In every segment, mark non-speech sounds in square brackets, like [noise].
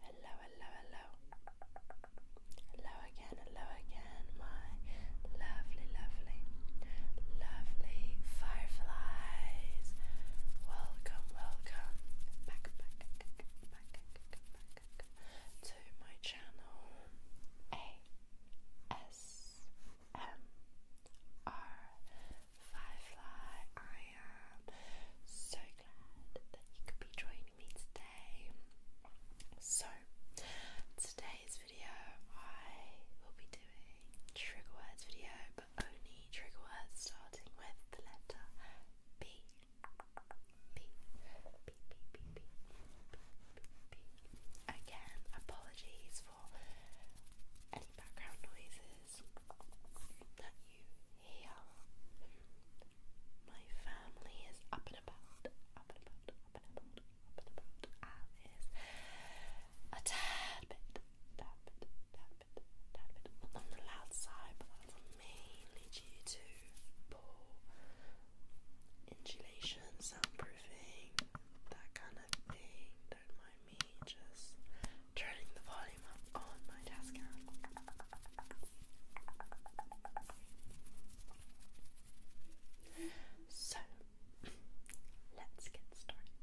Hello, hello, hello. Hello again, hello again, my lovely, lovely, lovely fireflies welcome, welcome back, back, back, back, back, back to my channel ASMR Firefly. I am so glad that you could be joining me today. So, today's video I will be doing trigger words video, only trigger words starting with the letter B. B. B. B. B. B. B. B. Again, apologies for any background noises that you hear. My family is up and about, up and about, up and about, up and about, and is a tad bit, tad bit, tad bit, bit, tad on the loud side, but that's mainly due to poor insulation, soundproofing, that kind of thing. Don't mind me just turning the volume up on my desk. So [clears throat] let's get started.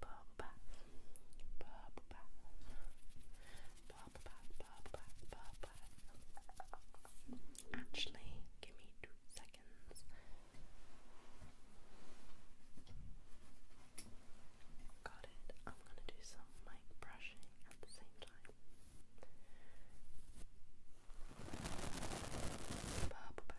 Bubble bath, Actually, give me two seconds. Got it. I'm gonna do some mic brushing at the same time.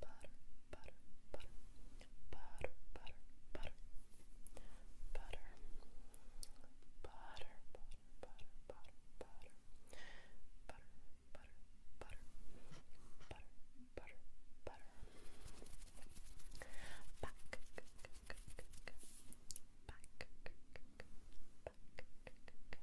butter, butter, butter, butter, butter, butter, butter, butter, butter, butter, butter, butter, butter, butter, butter, butter, butter, back, back, back, back, back,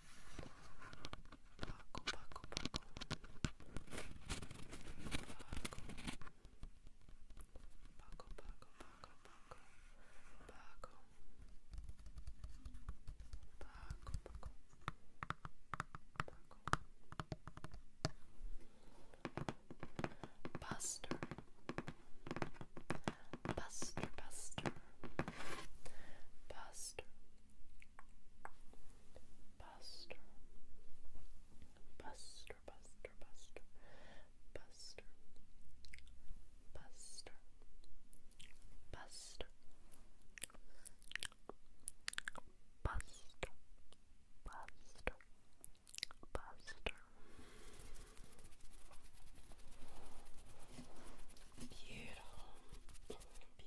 Paco, Paco, Paco. Paco. Paco, Paco, Paco, Paco. Paco. Buster, Buster. Buster. Buster, Buster, Buster, Buster, Buster, Buster, Buster, Buster, Buster, Buster, Buster. Beautiful, beautiful,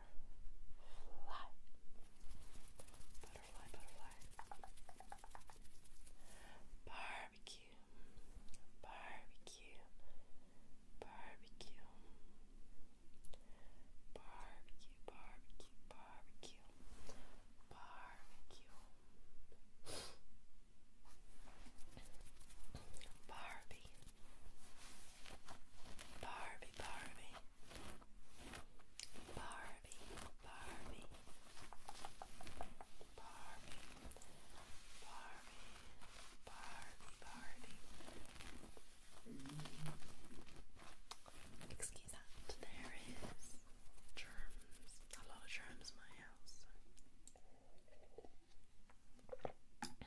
Butterfly. Butterfly, butterfly. Barbecue. Barbecue. Barbecue. Barbecue, barbecue, barbecue. Barbecue. Barbie. Barbie, Barbie. Barbie, Barbie, Barbie, Barbie, Barbie, Barbie. Excuse me. There is germs. A lot of germs in my house.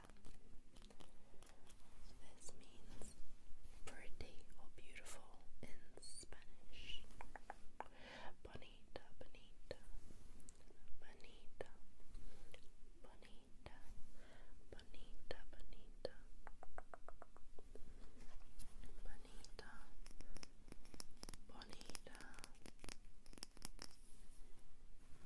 So this means pretty or beautiful in Spanish. bonita, bonita, bonita, bonita, bonita, bonita. Bonita,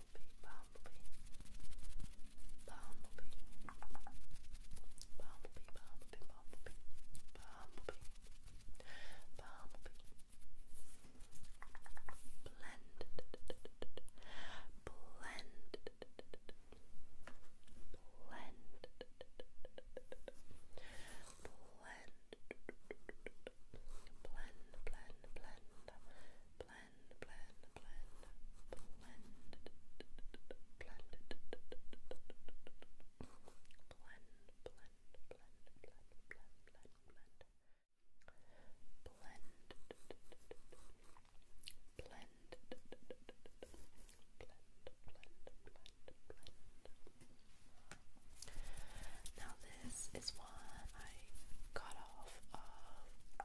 bumblebee, bumblebee, bumblebee, bumblebee, bumblebee, bumblebee, bumblebee, bumblebee, blended, blended, blended, blend, blend, blend, blend, blend, blend, blend, blend blend, blend, blend, blend, blend, blend, blend, blend, blend, blend, blend. Blend, blend, blend, blend, blend, blend. Now this is one I got off of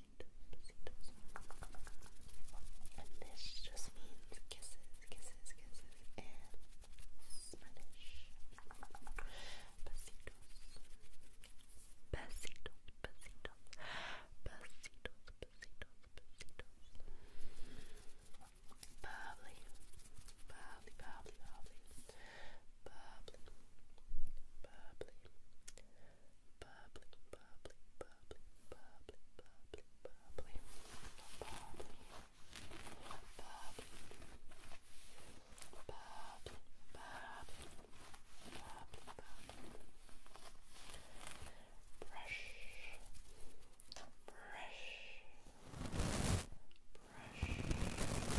And this just means kisses, kisses, kisses in Spanish. Besitos. Besitos, besitos. Besitos, besitos, besitos. Bubbly. Bubbly, bubbly, bubbly. Bubbly. Bubbly bubbly, bubbly, bubbly, bubbly, bubbly, bubbly, bubbly, bubbly, bubbly, bubbly, bubbly, bubbly. Brush, brush, brush, brush,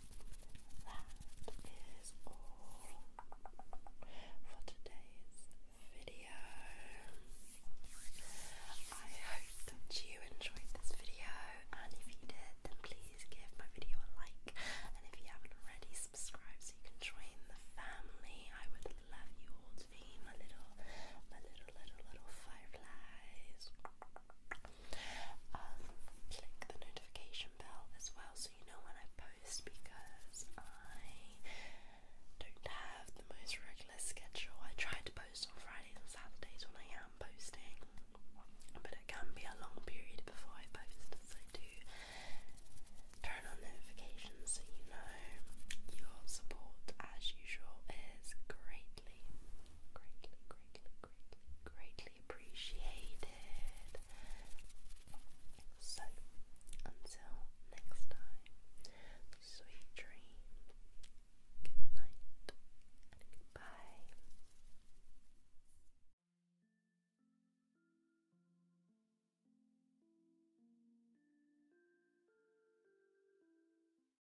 that is all for today's video. I hope that you enjoyed this video, and if you did, then please give my video a like. And if you haven't already, subscribe so you can join the family. I would love you all to be my little, my little, little, little fireflies. Um, click the notification bell as well so you know when I post because I don't have the most regular schedule. I try to post on Fridays and Saturdays when I am posting, but it can be a long period before I post, so do turn on notifications so you know your support as usual is greatly, greatly, greatly, appreciated. So, until next time, sweet dreams, good night, goodbye.